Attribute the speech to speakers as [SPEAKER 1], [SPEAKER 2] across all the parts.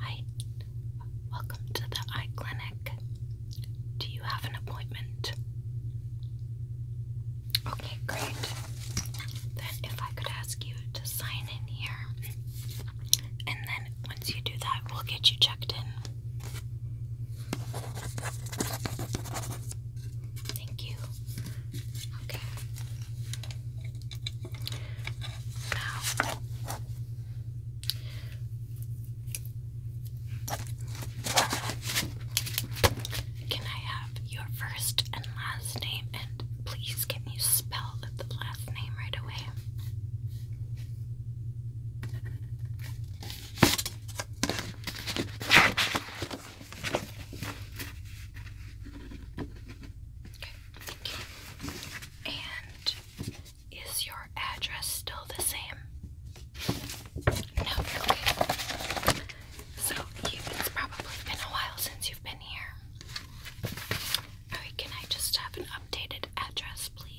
[SPEAKER 1] Hi, welcome to the eye clinic. Do you have an appointment? Okay, great. Then, if I could ask you to sign in here, and then once you do that, we'll get you checked in. Thank you. Okay. Now, can I have your first and last name? And please, can you spell the last name right away? thank you. And is your address still the same? No, So it's probably been a while since you've been here. can I just have an updated address, please?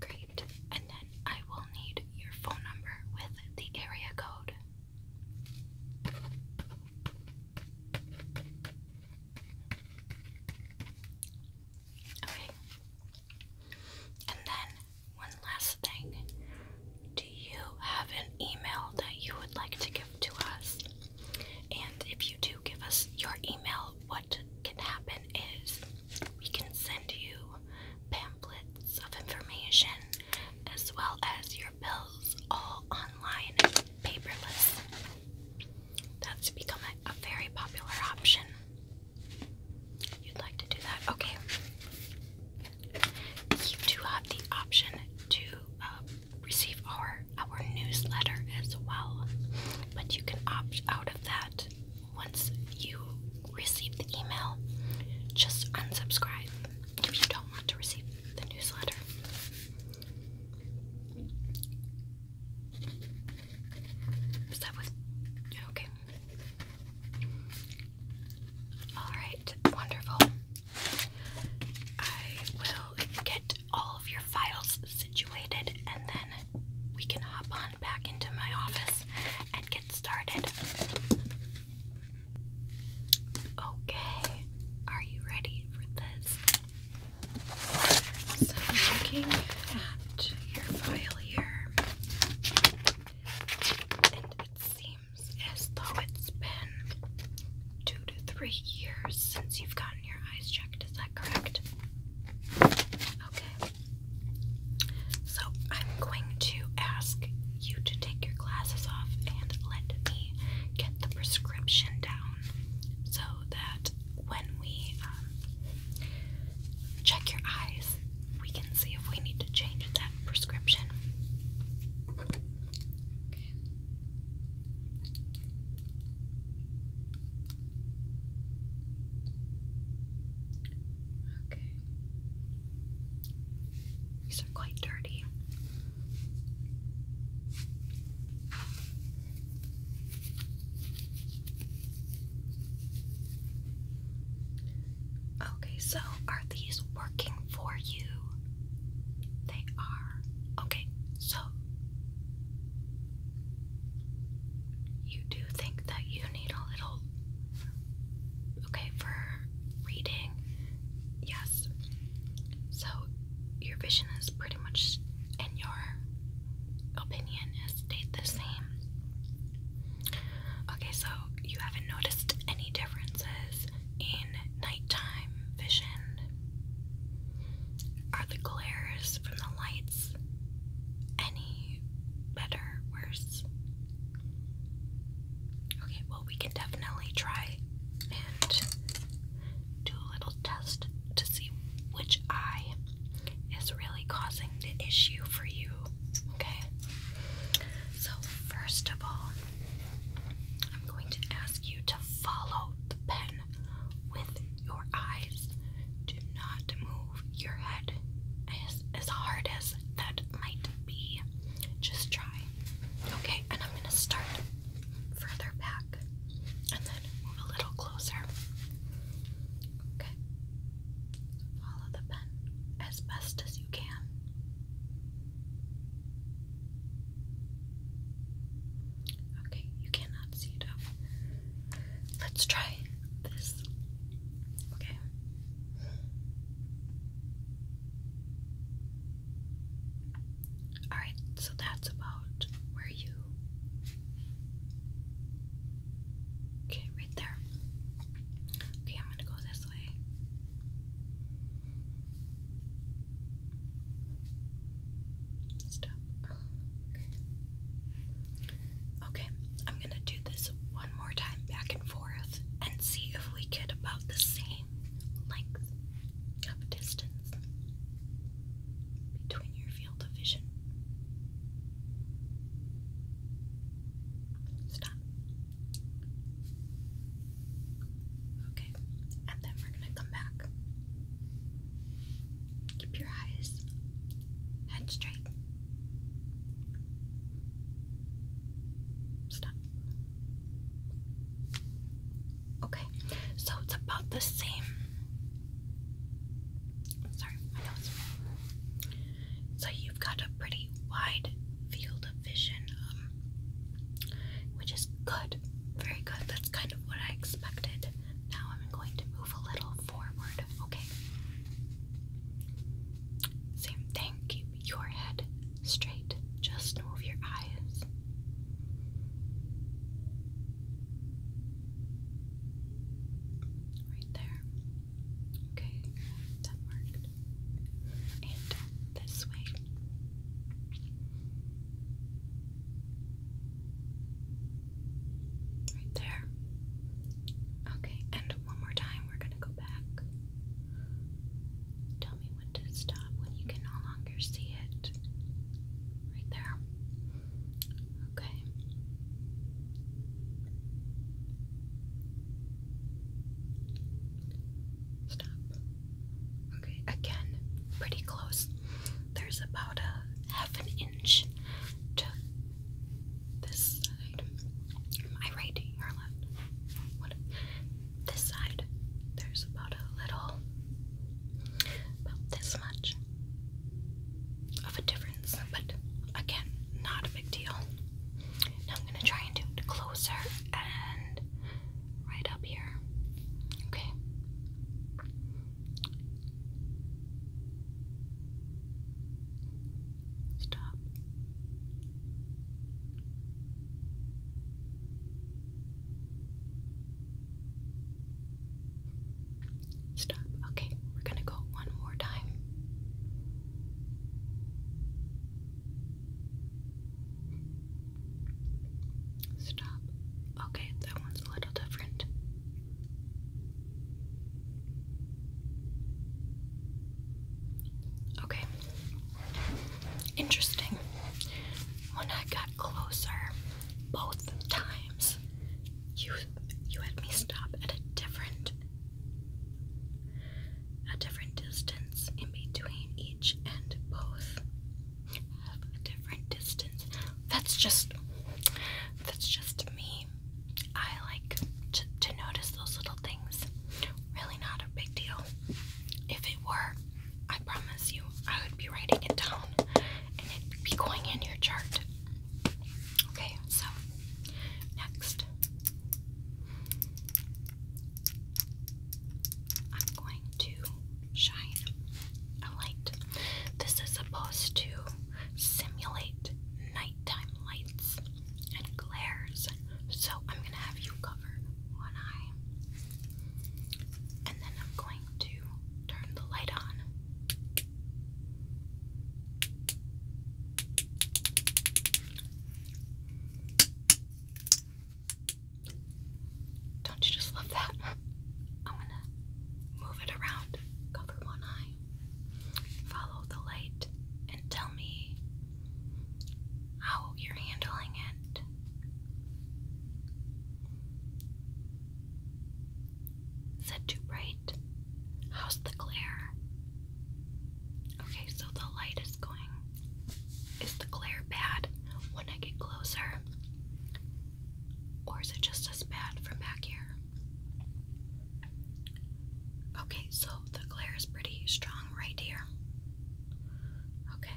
[SPEAKER 1] Great. And then I will need your phone number with the area code. Okay. And then one last thing. Do you have an email that you would like to give to us? And if you do give us your email, what can happen is we can send you pamphlets of information as well as your bills all online and paperless. That's become a, very popular option. You'd like to do that? Okay. You do have the option to um, receive our our newsletter as well. But you can opt out of that once you receive the email. Just unsubscribe if you don't want to receive the newsletter. Is that Okay. All right. Wonderful. I will get all of your files situated and then we can hop on back into my office and get started. Okay, are you ready for this? So, I'm looking at your file here, and it seems as though it's been two to three years since you've gotten your eyes checked. Is that correct? Okay. So I'm going to ask you to take your glasses off and let me get the prescription down so that when we um, check your eyes, we can see if we need to change that prescription. Okay. Okay. These are quite dirty. Okay, so are these working for you? They are. Okay, so you do think that you need a little. Okay, for reading, yes. So your vision is pretty much, in your opinion, has stayed the same. Okay, so you haven't noticed any differences in nighttime vision are the glares from the lights any better, worse? Okay, well, we can definitely try and do a little test to see which eye is really causing the issue for you. Okay, so first of all, I'm going to ask you to follow the pen with your eyes. Do not move your head as, hard as that might be. Just try. Okay, and I'm going to start further back and then move a little closer. Okay. Follow the pen as best as you can. Okay, you cannot see it oh. Let's try this. Okay. Alright, so that's about where you. Okay, right there. Okay, I'm gonna go this way. Stop. Okay, I'm gonna do this one more time back and forth and see if we get about the same length of distance between your field of vision. Stop. Okay, and then we're gonna come back. Keep your eyes head straight. Stop. Okay, so it's about the same. Sorry, my nose. So you've got a pretty wide field of vision. Um, which is good, very good. That's kind of what I expected. Now I'm going to move a little forward, okay? Same thing, keep your head straight, just move your eyes. Right there. Okay, that worked and this way. Right there. Okay, and one more time, we're going to go back. Tell me when to stop when you can no longer see it. Right there. Okay. Stop. Okay, again, pretty close. There's about a half an inch to this side. My right, your left. What? This side. There's about a little, about this much of a difference, but again, not a big deal. I'm gonna try and do closer and right up here. Okay. Stop. Stop. Okay, we're going to go one more time. Stop. Okay, that one's a little different. Okay. Interesting. When I got closer both times, you you had me stop at a different a different distance in between each and both have a different distance. That's just that's just me. I like to, to notice those little things. Really not a big deal. If it were, I promise you I would be writing it down and it'd be going in your chart. Okay, so next I'm going to shine a light. This is supposed to simulate nighttime lights and glares. So I'm going to have you cover one eye. And then I'm going to turn the light on. Don't you just love that? I'm gonna move it around, cover one eye, follow the light, and tell me how you're handling it. Is it too bright? How's the glare? Okay, so the light is going. Is the glare bad when I get closer? Or is it just as bad from back here? Okay, so the glare is pretty strong right here. Okay.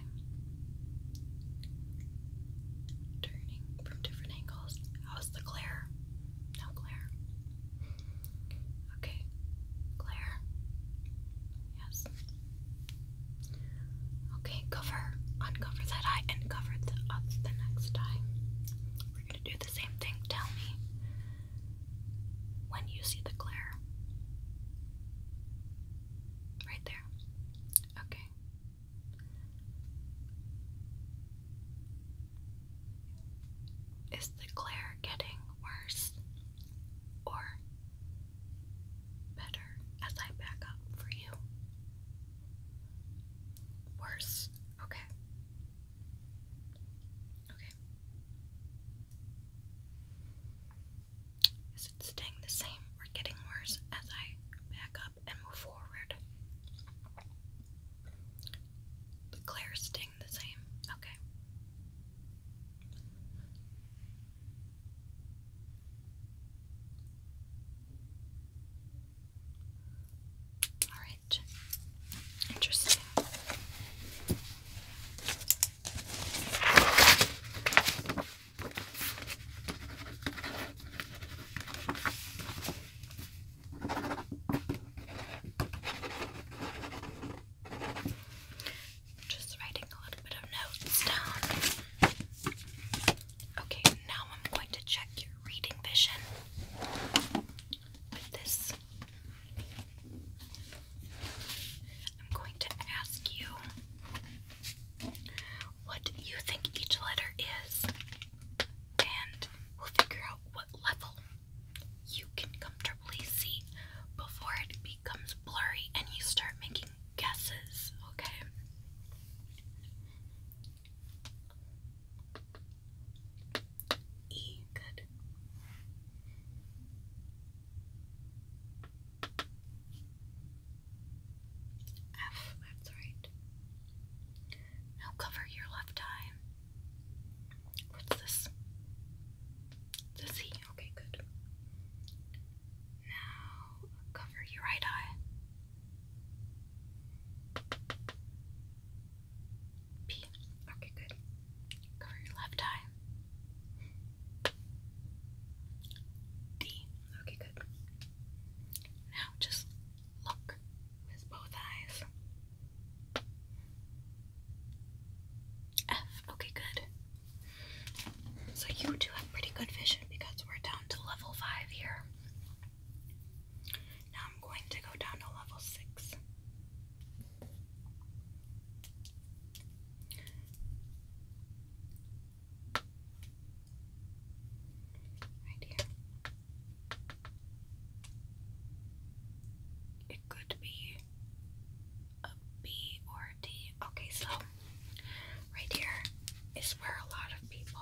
[SPEAKER 1] Turning from different angles. How's the glare? No glare. Okay, Claire. Yes. Okay, cover, uncover that eye, and cover the uh, the next eye. We're gonna do the same thing. Tell me when you see the glare. Right there. Okay. Is the glare getting worse? or better as I back up for you. Worse. Okay. Okay. Is it staying the same or getting worse as I back up and move forward? The clear sting the same? Okay. Alright. Interesting. Just writing a little bit of notes down. Okay, now I'm going to check your reading vision with this. I'm going to ask you what you think each letter is, and we'll figure out what level you can comfortably see before it becomes blurry and you start making guesses, okay? E, good. F, that's right. Now cover your left eye. What's this? C. Okay, good. Now cover your right eye. P. Okay, good. Cover your left eye. D. Okay, good. Now just look with both eyes. F. Okay, good. So you two have pretty good vision because we're down to level 5 here. Now I'm going to go down to level 6. Right here. It could be a B or a D. Okay, so right here is where a lot of people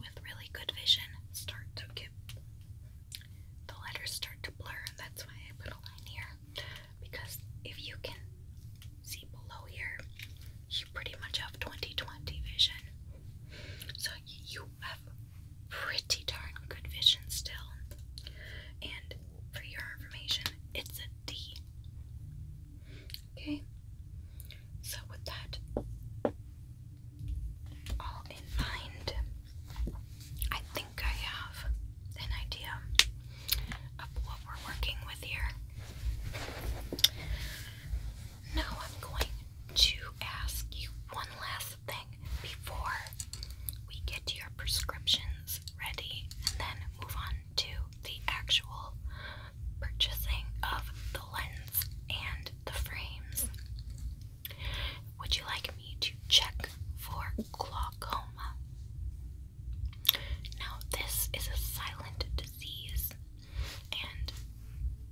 [SPEAKER 1] with really good vision start to get the letters start to blur, and that's why I put a line here. Because if you can see below here, you pretty much have twenty twenty vision. So you have pretty darn good vision still. And for your information, it's a D. Okay? So, with that all in mind, I think I have an idea of what we're working with here. Now, I'm going to ask you one last something before we get your prescriptions ready and then move on to the actual purchasing of the lens and the frames. Would you like me to check for glaucoma? Now, this is a silent disease and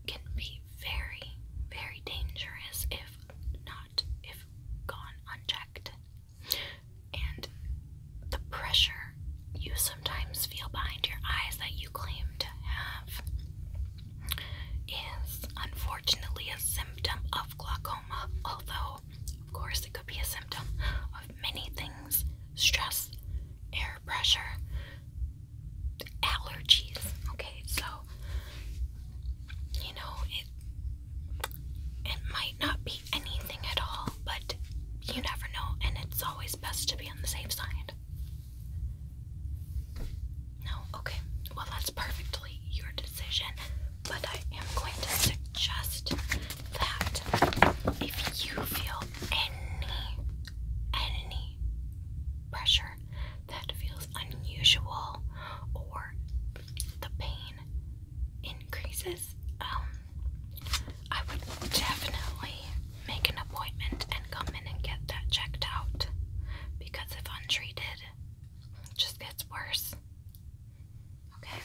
[SPEAKER 1] can be very, very dangerous if not, if gone unchecked. And the pressure you sometimes feel behind your eyes that you claim to have is unfortunately a symptom of glaucoma, although, of course, it could be a symptom of many things stress, air pressure, allergies. Okay, so you know, it it might not be anything at all, but you never know, and it's always best to be on the safe side. No, okay. Well, that's perfectly your decision, but I am going to suggest that if you feel any any pressure that feels unusual or the pain increases, um, I would definitely make an appointment and come in and get that checked out because if untreated, it just gets worse. Okay,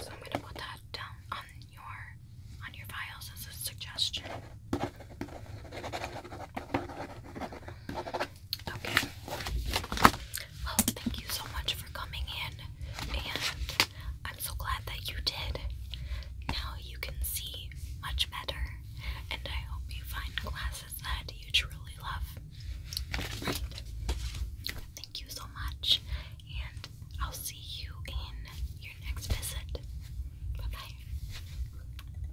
[SPEAKER 1] so I'm gonna put that down on your on your files as a suggestion. Okay. Well, oh, thank you so much for coming in, and I'm so glad that you did. Now you can see much better, and I hope you find classes that you truly love. Thank you so much, and I'll see you in your next visit. Bye bye.